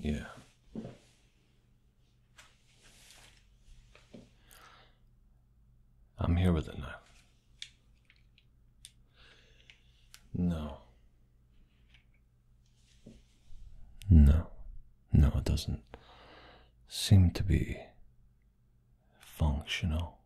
Yeah. I'm here with it now. No. No. No, it doesn't seem to be functional.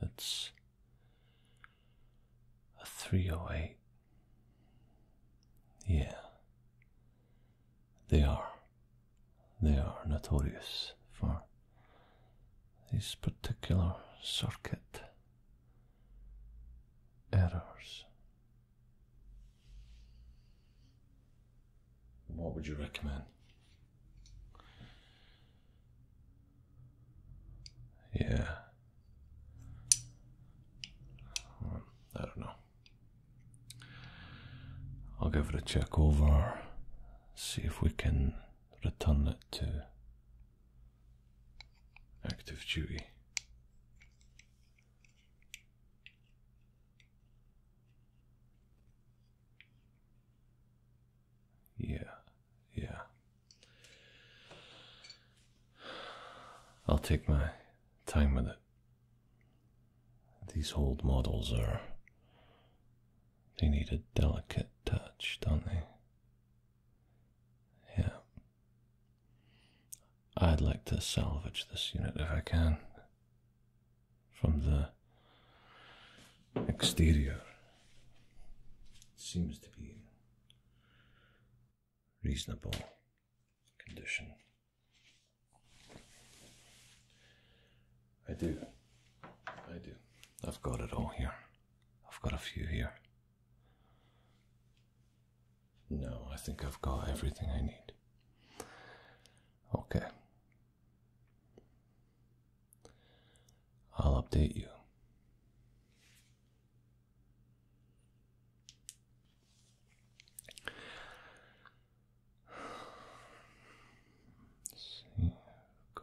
It's a 308. Yeah, they are. They are notorious for these particular circuit errors. What would you recommend? Yeah. Hmm, I don't know. I'll give it a check over, see if we can return it to active duty. Yeah, yeah. I'll take my time with it. These old models are. They need a delicate touch, don't they? Yeah, I'd like to salvage this unit if I can from the exterior. It seems to be reasonable condition. I do. I do. I've got it all here. I've got a few here. No, I think I've got everything I need. Okay. I'll update you. see, go.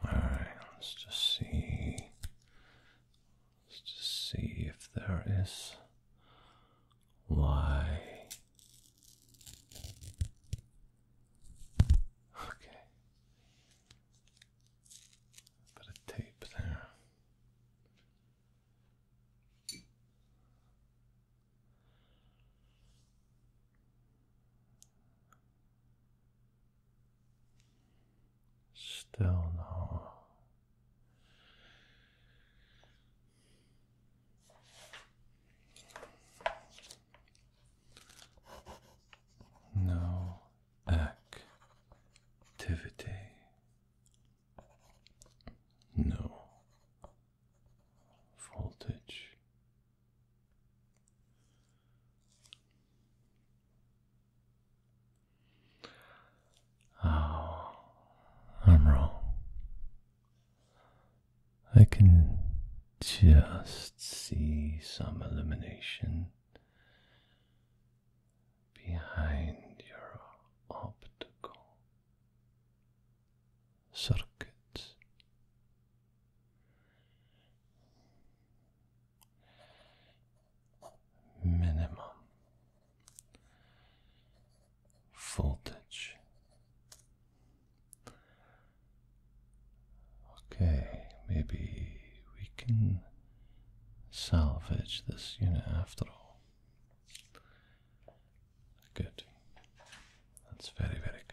All right, let's just see. Let's just see if there is. Why Okay. A tape there. Still no. No activity. No voltage. Oh, I'm wrong. I can just see some illumination behind your optical circuits. Minimum voltage. Okay, maybe we can salvage this unit after all. Good. That's very, very good.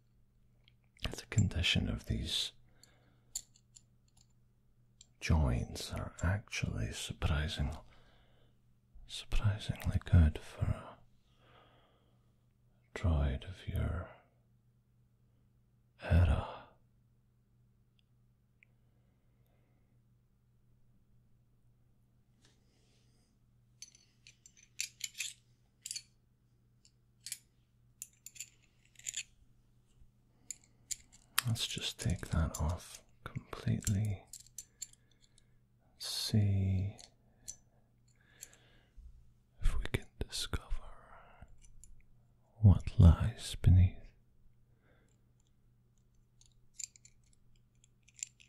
the condition of these joints are actually surprising, surprisingly good for a droid of your era. Let's just take that off completely. Let's see if we can discover what lies beneath.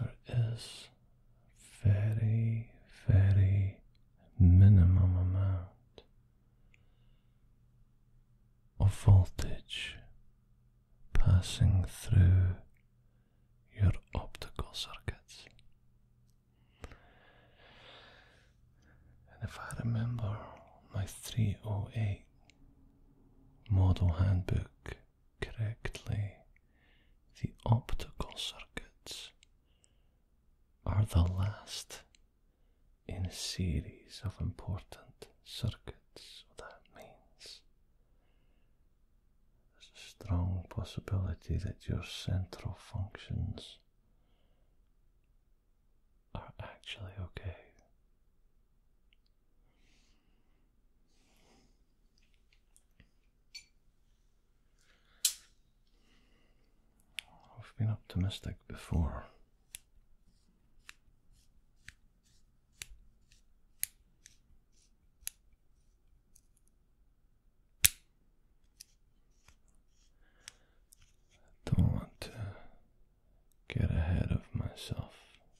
There is very, very minimum amount of voltage passing through your optical circuits. And if I remember my 308 model handbook correctly, the optical circuits are the last in a series of important circuits. that means there's a strong possibility that your central functions are actually okay. I've been optimistic before. I don't want to get ahead of myself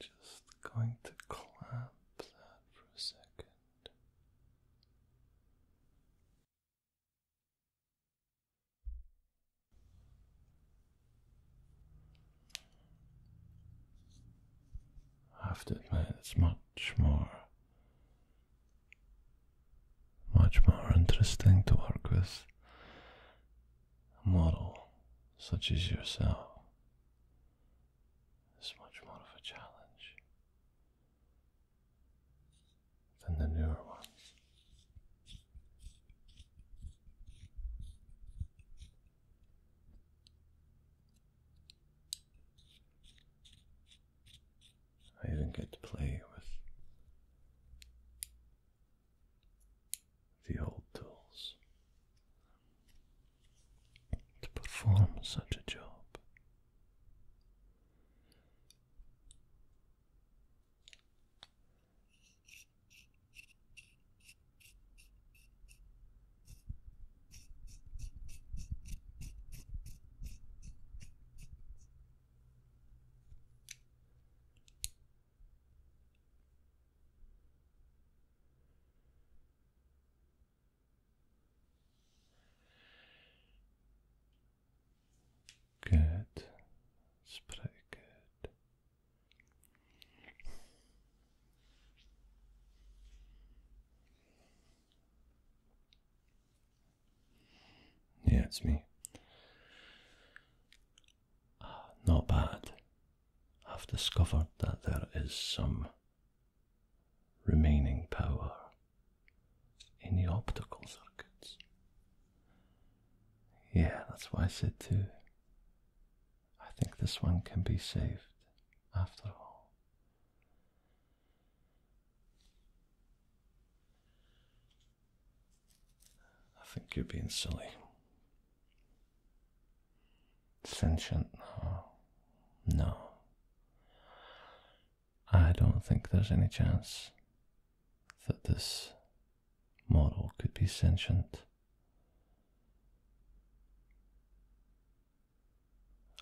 Just going to clamp that for a second. I have to admit, it's much more, much more interesting to work with model such as yourself is much more of a challenge than the newer ones. I even get to play with the old tools to perform such a job. Good. It's pretty good. Yeah, it's me. Not bad. I've discovered that there is some remaining power in the optical circuits. Yeah, that's why I said too. I think this one can be saved after all. I think you're being silly. Sentient? No. I don't think there's any chance that this model could be sentient.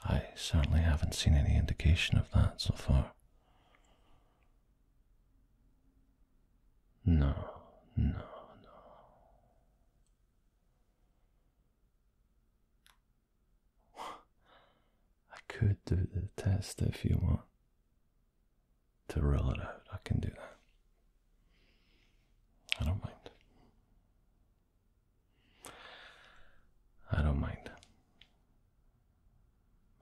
I certainly haven't seen any indication of that so far. No, no, no. I could do the test if you want to roll it out. I can do that. I don't mind. I don't mind.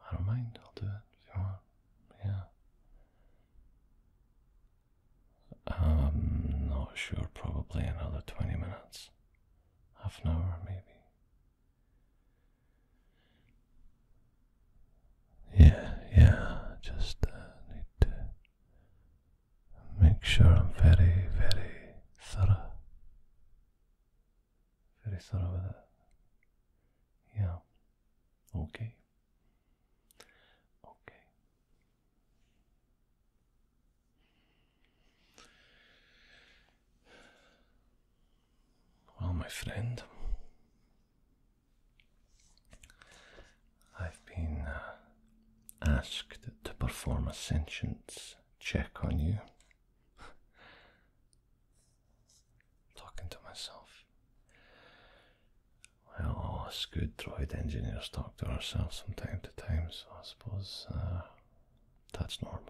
I don't mind, I'll do it if you want. Yeah. I'm um, not sure, probably another 20 minutes. Half an hour, maybe. Yeah, yeah, just uh, need to make sure I'm very, very thorough. Very thorough with it. Yeah. Okay. Okay. Well, my friend, I've been uh, asked to perform a sentience check on you. Talking to myself. Well, us good droid engineers talk to ourselves from time to time, so I suppose uh, that's normal.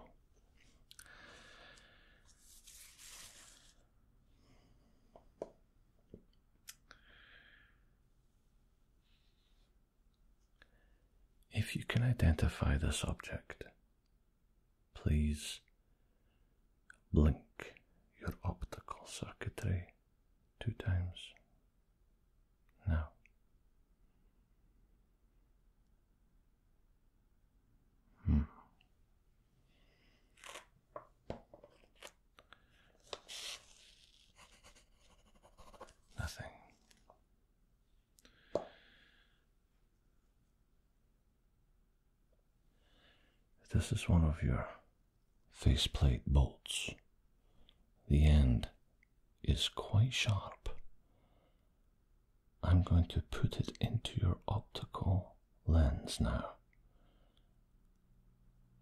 If you can identify this object, Please blink your optical circuitry two times. Now. Hmm. Nothing. This is one of your faceplate bolts. The end is quite sharp. I'm going to put it into your optical lens now.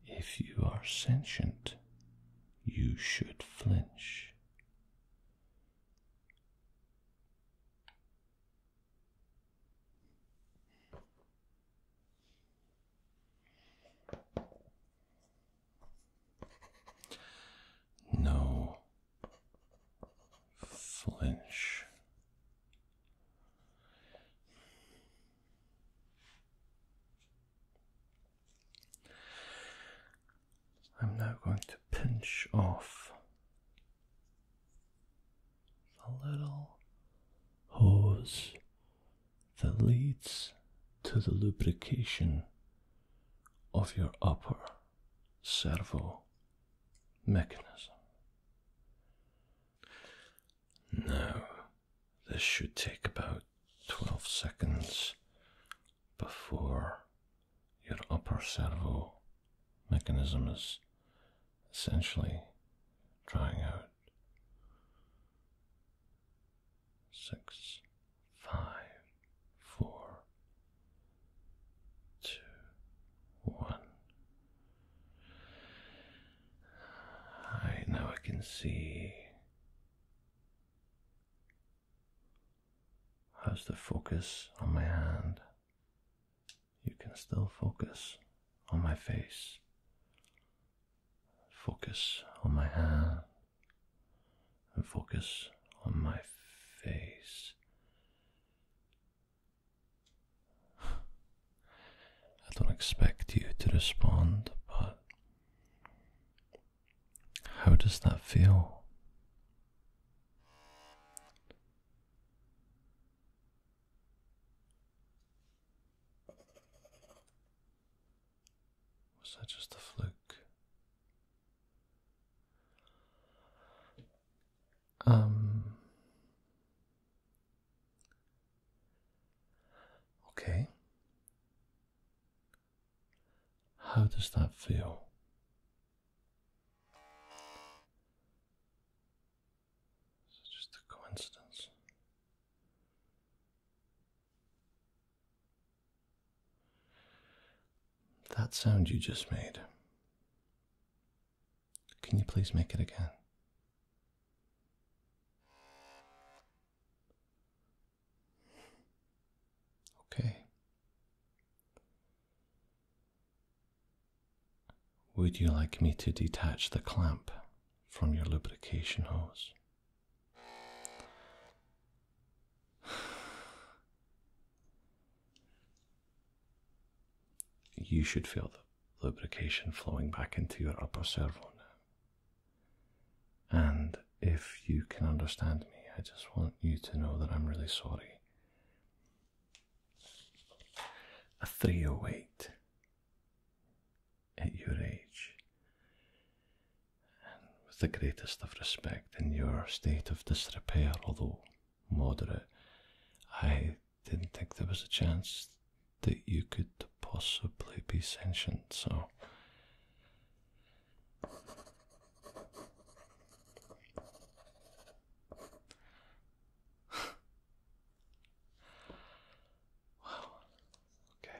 If you are sentient, you should flinch. No flinch. I'm now going to pinch off a little hose that leads to the lubrication of your upper servo mechanism. Now, this should take about 12 seconds before your upper servo mechanism is essentially trying out. Six, five, four, two, one. I now I can see how's the focus on my hand you can still focus on my face, focus on my hand, and focus on my face. I don't expect you to respond, but how does that feel? Was that just a fluke? Um. Okay. How does that feel? Is it just a coincidence? That sound you just made. Can you please make it again? Okay. Would you like me to detach the clamp from your lubrication hose? You should feel the lubrication flowing back into your upper servo And if you can understand me, I just want you to know that I'm really sorry a 308 at your age, and with the greatest of respect in your state of disrepair, although moderate, I didn't think there was a chance that you could possibly be sentient, so wow. Okay.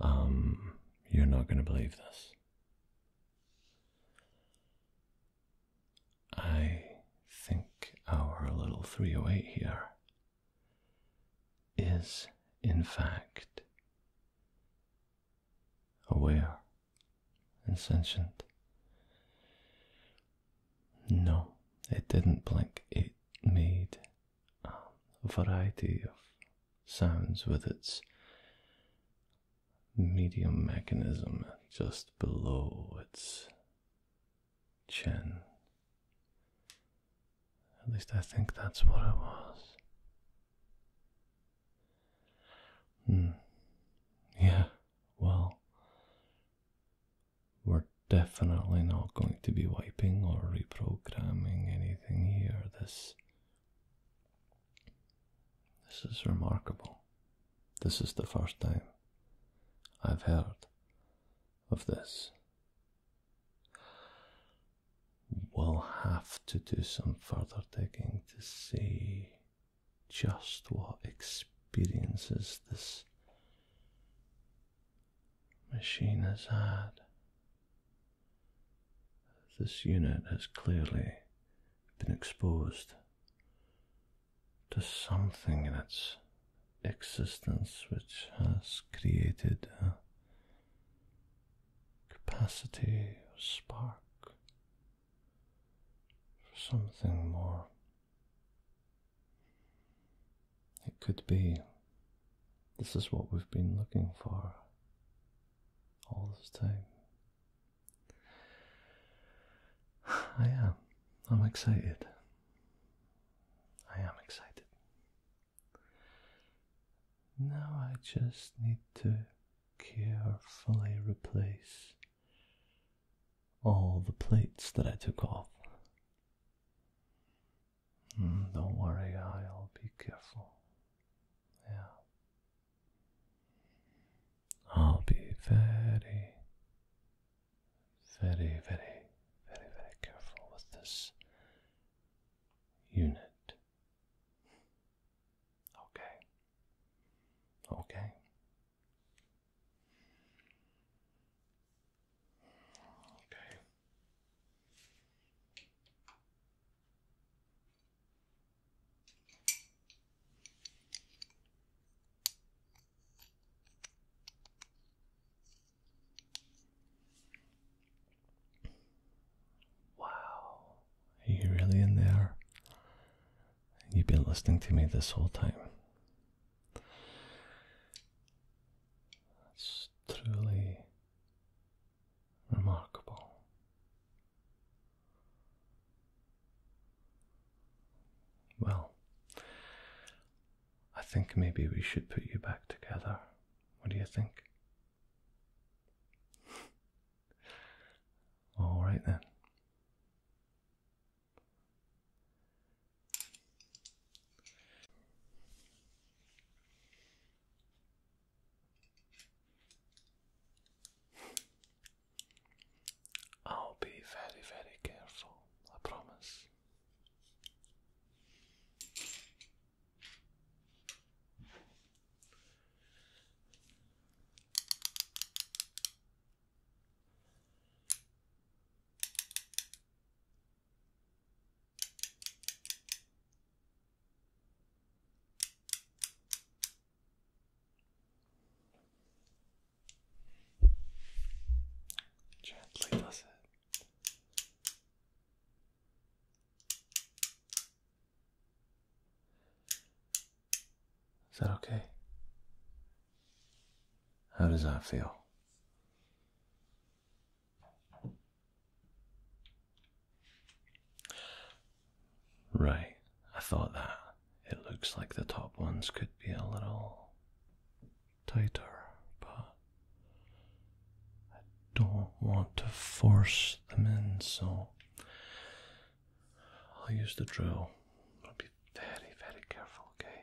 Um, you're not going to believe this. I think our little 308 here is, in fact, aware and sentient. No, it didn't blink. It made a variety of sounds with its medium mechanism just below its chin. At least I think that's what it was. Hmm. Yeah, well, we're definitely not going to be wiping or reprogramming anything here. This. This is remarkable. This is the first time I've heard of this. We'll have to do some further digging to see just what experiences this machine has had. This unit has clearly been exposed to something in its existence which has created a capacity or spark for something more. It could be this is what we've been looking for all this time. I am. I'm excited. I am excited. Now I just need to carefully replace all the plates that I took off. Hmm, don't worry, I'll be careful. Yeah. I'll be very, very, very, very, very careful with this unit. Okay. Okay. Okay. Wow, are you really in there? You've been listening to me this whole time. It's truly remarkable. Well, I think maybe we should put you back together. What do you think? All right then. I'll be very, very careful, I promise. Gently does it. Is that okay? How does that feel? Right, I thought that. It looks like the top ones could be a little tighter, but I don't want to force them in, so I'll use the drill. I'll be very, very careful, okay?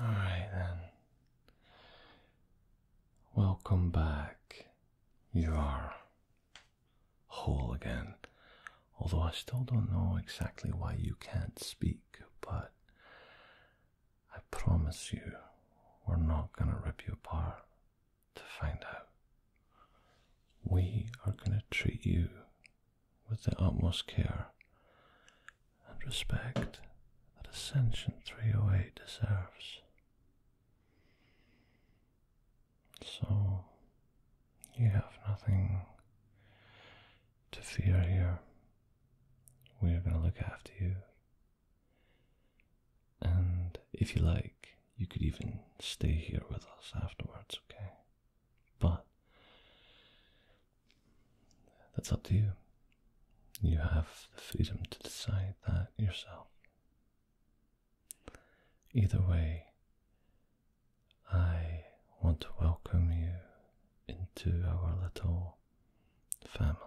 All right, then. Welcome back. You are whole again. Although I still don't know exactly why you can't speak, but I promise you we're not going to rip you apart to find out. We are going to treat you with the utmost care and respect that Ascension 308 deserves. So, you have nothing to fear here. We are going to look after you. And if you like, you could even stay here with us afterwards, okay? But that's up to you. You have the freedom to decide that yourself. Either way, I want to welcome you into our little family.